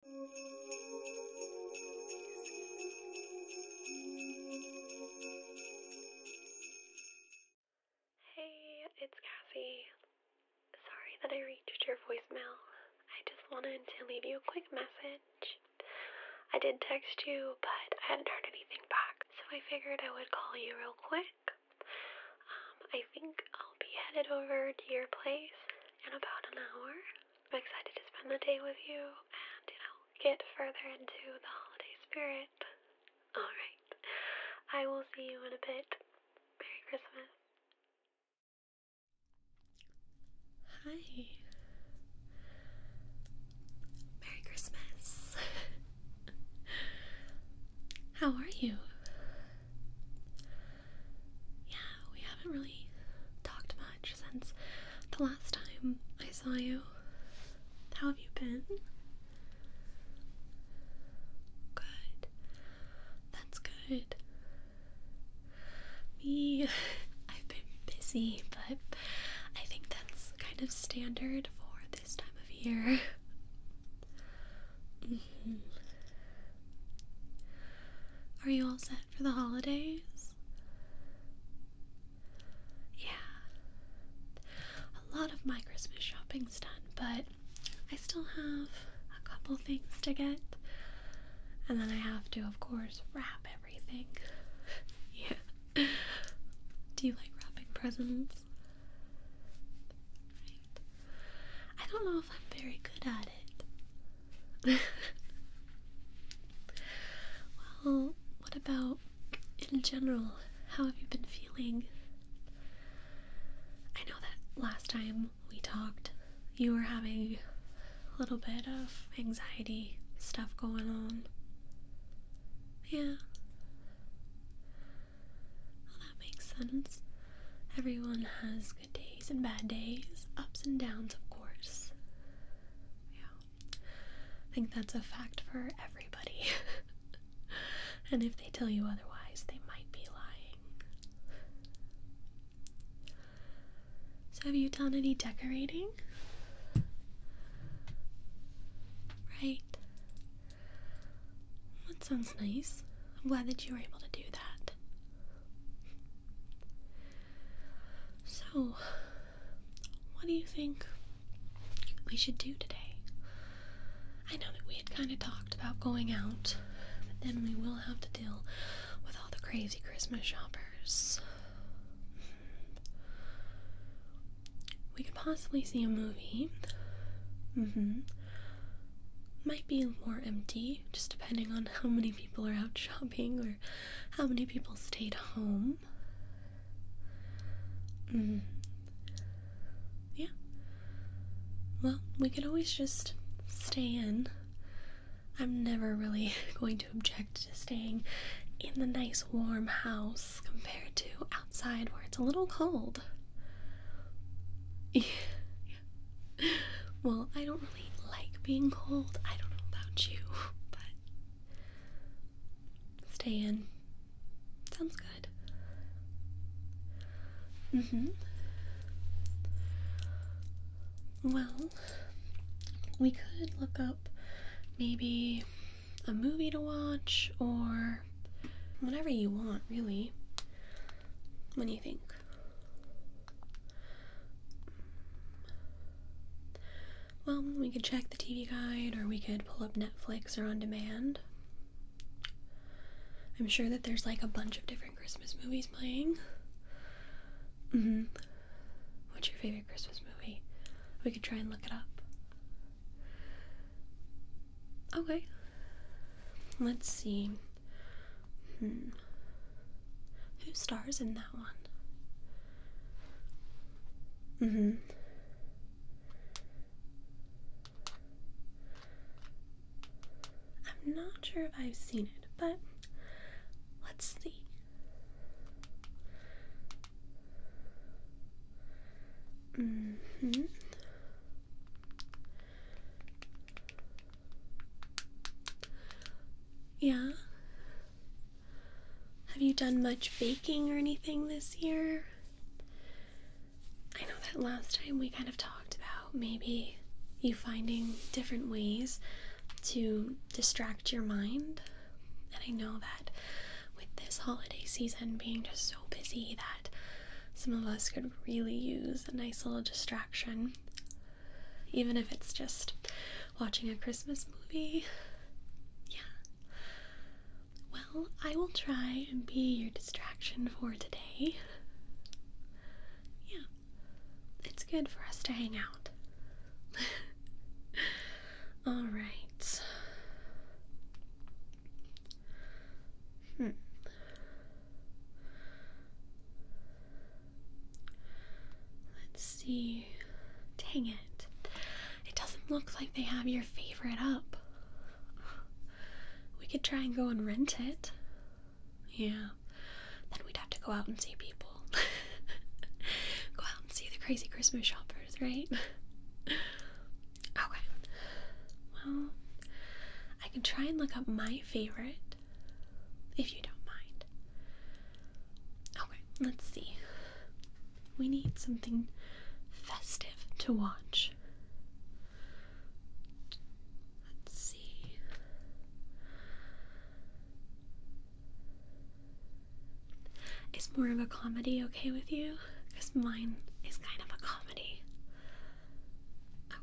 Hey, it's Cassie. Sorry that I reached your voicemail. I just wanted to leave you a quick message. I did text you, but I hadn't heard anything back, so I figured I would call you real quick. Um, I think I'll be headed over to your place in about an hour. I'm excited to spend the day with you and, you know, get further into the holiday spirit. Alright, I will see you in a bit. Merry Christmas. Hi. Merry Christmas. How are you? yeah, we haven't really talked much since the last time I saw you. How have you been? Good. That's good. Me, I've been busy, but I think that's kind of standard for this time of year. Mm. Are you all set for the holidays? Yeah. A lot of my Christmas shopping's done, but I still have a couple things to get. And then I have to, of course, wrap everything. yeah. Do you like wrapping presents? I don't know if I'm very good at it. well, what about in general? How have you been feeling? I know that last time we talked, you were having a little bit of anxiety stuff going on. Yeah. that makes sense. Everyone has good days and bad days, ups and downs, of course. Yeah. I think that's a fact for everybody. and if they tell you otherwise, they might be lying. So, have you done any decorating? Right. That sounds nice. I'm glad that you were able to do that. So, what do you think we should do today? I know that we had kind of talked about going out, but then we will have to deal with all the crazy Christmas shoppers. We could possibly see a movie. hmm. Might be more empty just depending on how many people are out shopping or how many people stayed home. Mm. Yeah. Well, we could always just stay in. I'm never really going to object to staying in the nice warm house compared to outside where it's a little cold. well, I don't really like being cold. I don't know about you, but stay in. Sounds good. Mm hmm. Well, we could look up maybe a movie to watch or whatever you want, really. What do you think? Well, we could check the TV guide or we could pull up Netflix or on demand. I'm sure that there's like a bunch of different Christmas movies playing. hmm. What's your favorite Christmas movie? We could try and look it up. Okay. Let's see. Hmm. Who stars in that one? Mm-hmm. I'm not sure if I've seen it, but let's see. hmm. Yeah. Have you done much baking or anything this year? I know that last time we kind of talked about maybe you finding different ways to distract your mind. And I know that with this holiday season being just so busy that some of us could really use a nice little distraction. Even if it's just watching a Christmas movie. Yeah. Well, I will try and be your distraction for today. Yeah. It's good for us to hang out. All right. Hmm. Let's see. Dang it. It doesn't look like they have your favorite up. We could try and go and rent it. Yeah. Then we'd have to go out and see people. go out and see the crazy Christmas shoppers, right? Okay. Well, I can try and look up my favorite if you don't mind. Okay, let's see. We need something festive to watch. Let's see. Is more of a comedy okay with you? Because mine is kind of a comedy. Okay.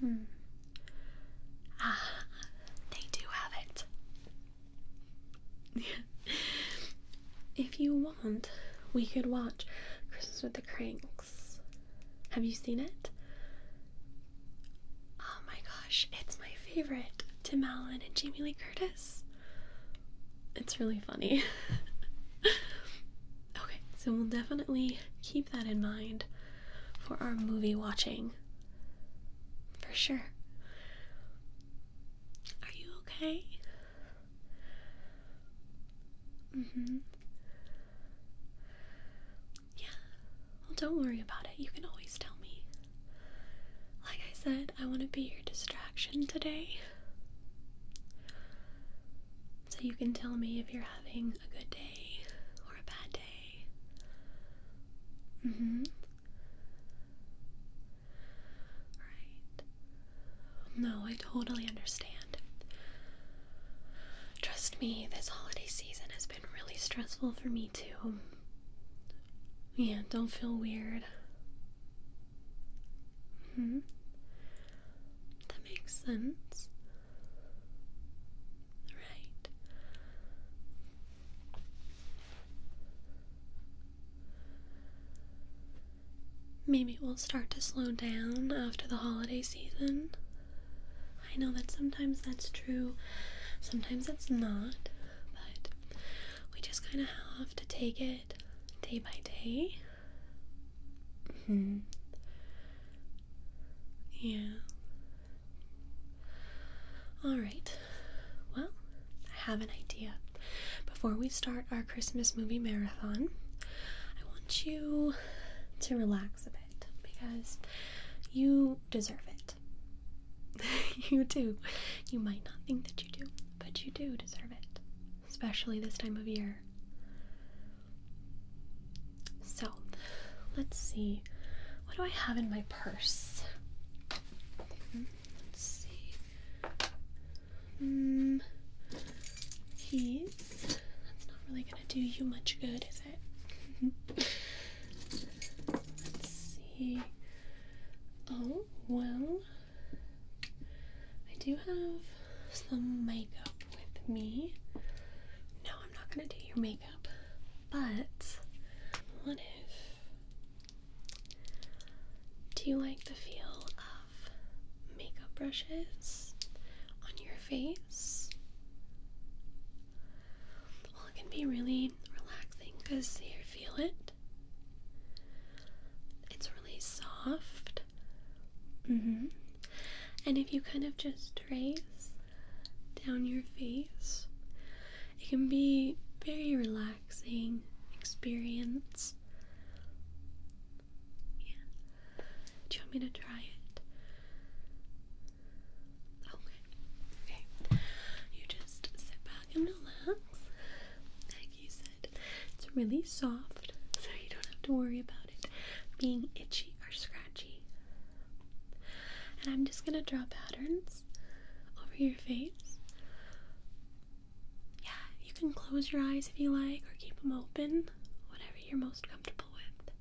Hmm. Ah, they do have it. if you want, we could watch Christmas with the Cranks. Have you seen it? Oh my gosh, it's my favorite. Tim Allen and Jamie Lee Curtis it's really funny. okay, so we'll definitely keep that in mind for our movie watching. For sure. Are you okay? Mm-hmm. Yeah. Well, don't worry about it. You can always tell me. Like I said, I want to be your distraction today. So you can tell me if you're having a good day or a bad day. Mm hmm. Right. No, I totally understand. Trust me, this holiday season has been really stressful for me too. Yeah, don't feel weird. Hmm. That makes sense. Right. Maybe we'll start to slow down after the holiday season. I know that sometimes that's true, sometimes it's not, but we just kind of have to take it day by day. -hmm. Yeah. Alright. Well, I have an idea. Before we start our Christmas movie marathon, I want you to relax a bit because you deserve it. you do. You might not think that you do, but you do deserve it, especially this time of year. So, let's see. What do I have in my purse? Hmm, let's see. Mm, keys. That's not really gonna do you much good, is it? let's see. Oh, well, I do have some makeup with me. No, I'm not going to do your makeup, but what if. Do you like the feel of makeup brushes on your face? Well, it can be really relaxing because you feel it it's really soft. Mm-hmm. And if you kind of just trace down your face, it can be very relaxing experience. Yeah. Do you want me to try it? Okay. Okay. You just sit back and relax like you said. It's really soft, so you don't have to worry about it being itchy or scratchy. And I'm just gonna draw patterns over your face. Yeah, you can close your eyes if you like, or keep them open, whatever you're most comfortable with.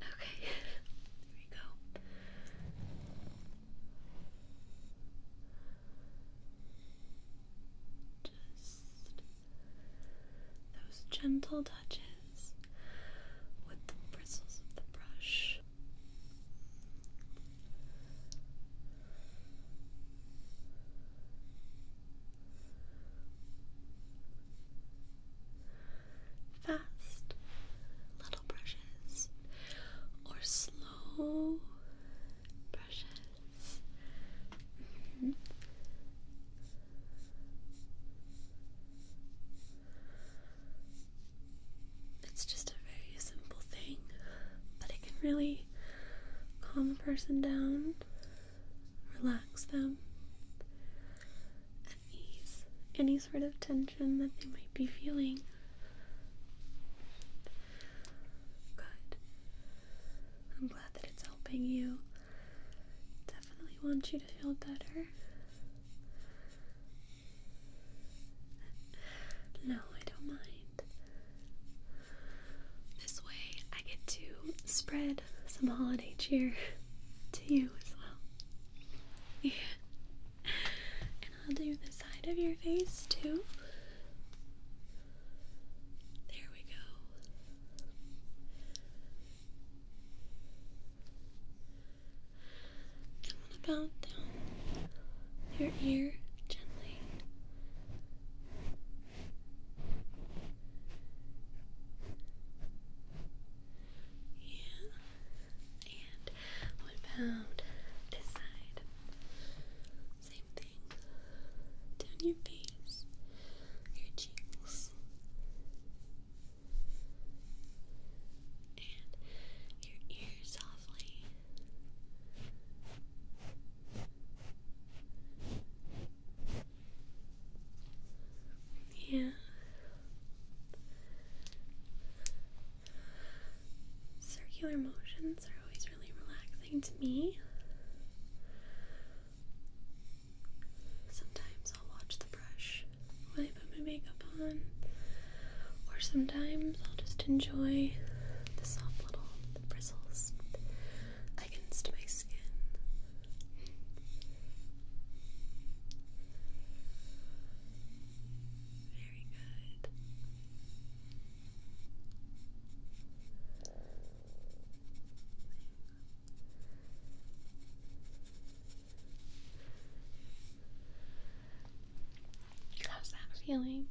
Okay, there we go. Just those gentle touches with the bristles of the brush. Fast little brushes or slow brushes. Mm-hmm. It's just a very simple thing, but it can really calm a person down, relax them, ease any sort of tension that they might be feeling. Good. I'm glad that it's helping you. Definitely want you to feel better. No, I don't mind. This way I get to spread some holiday cheer to you as well. And I'll do the side of your face too. There we go. And what about down your ear gently? Yeah. And what about this side? Same thing. Down your face, your cheeks, and your ears softly. Yeah. Circular motions are always really relaxing to me. Sometimes I'll watch the brush when I put my makeup on, or sometimes I'll just enjoy the soft little bristles against my skin. Very good. How's that feeling?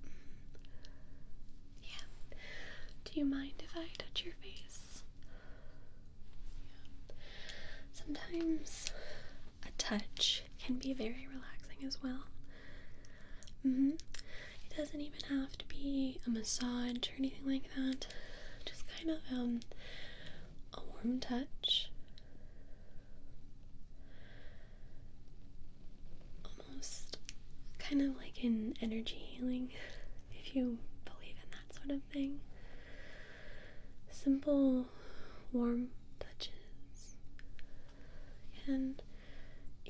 Mm. Yeah. Do you mind if I touch your face? Sometimes a touch can be very relaxing as well. Mm-hmm. It doesn't even have to be a massage or anything like that. Just kind of um, a warm touch. Almost kind of like an energy healing, if you believe in that sort of thing simple warm touches and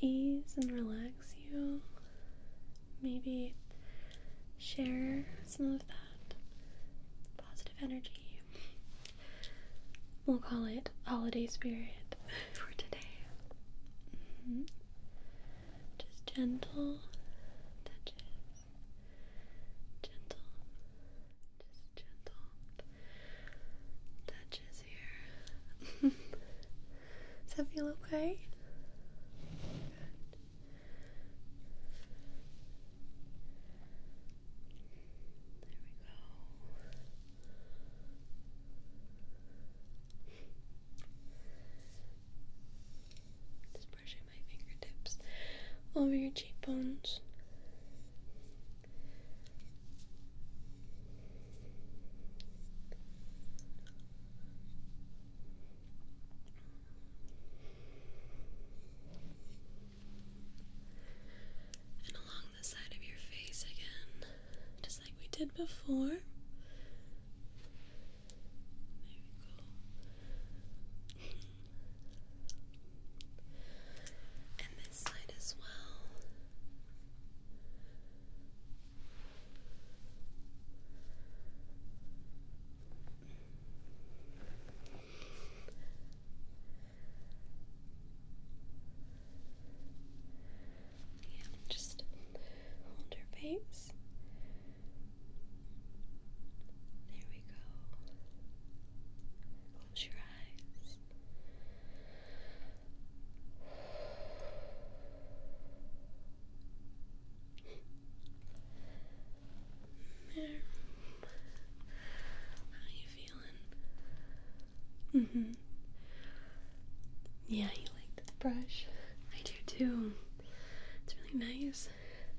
ease and relax you. Maybe share some of that positive energy. We'll call it holiday spirit for today. Mm-hmm. Just gentle touches gentle, just gentle touches here. Does that feel okay? There we go. Just brushing my fingertips over your cheekbones. And along the side of your face again, just like we did before. There we and this side as well. Yeah, just hold your face there we go. Close your eyes. There. How you feeling? Mm-hmm. Yeah, you like this brush. I do too. It's really nice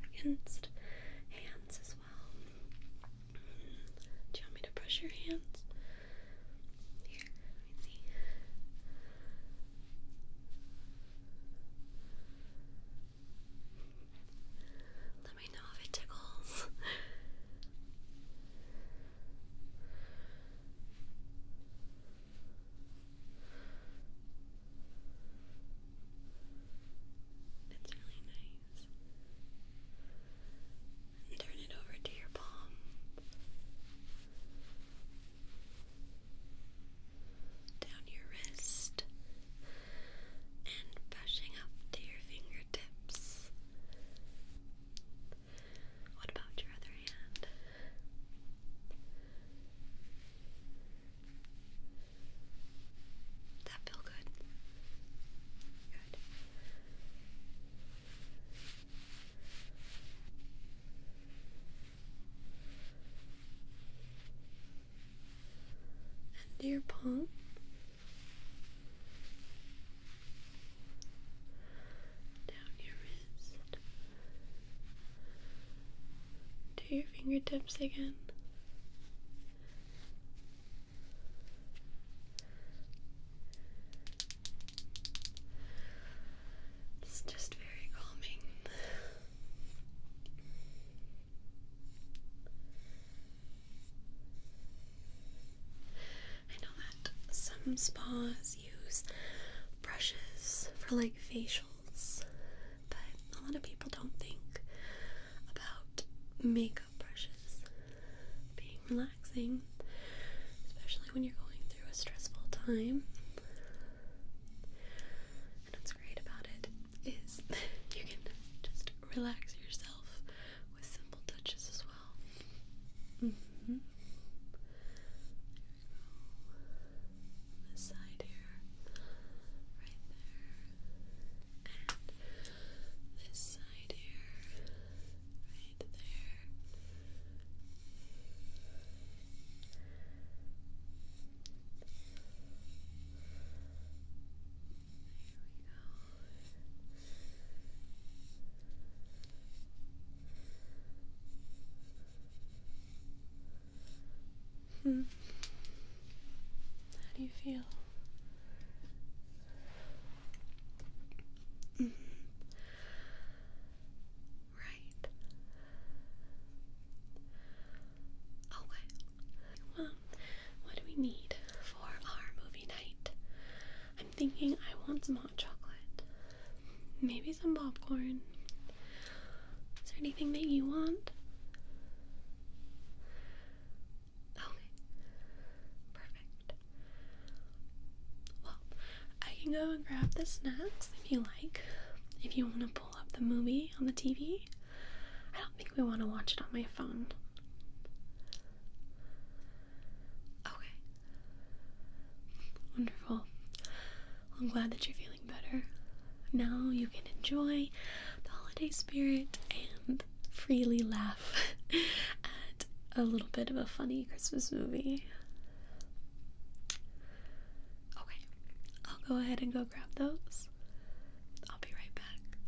against hands as well. Do you want me to brush your hands? Here, let me see. Let me know if it tickles. It's really nice. turn it over to your palm. Down your wrist and pushing up to your fingertips. What about your other hand? That feel good? Good. And your palm. Down your wrist to your fingertips again. It's just very calming. I know that some spas use brushes for like facials, but a lot of people don't think about makeup brushes being relaxing, especially when you're going through a stressful time. And what's great about it is you can just relax yourself with simple touches as well. Mm-hmm on this side here, right there, and this side here, right there. There we go. Hmm. How do you feel? Mm-hmm. Right. Okay. Oh, well, what do we need for our movie night? I'm thinking I want some hot chocolate. Maybe some popcorn. Is there anything that you want? Okay. Perfect. Well, I can go and grab the snacks if you like. If you want to pull up the movie on the TV, I don't think we want to watch it on my phone. Okay. Wonderful. I'm glad that you feel better. Now you can enjoy the holiday spirit and freely laugh at a little bit of a funny Christmas movie. Okay, I'll go ahead and go grab those. I'll be right back.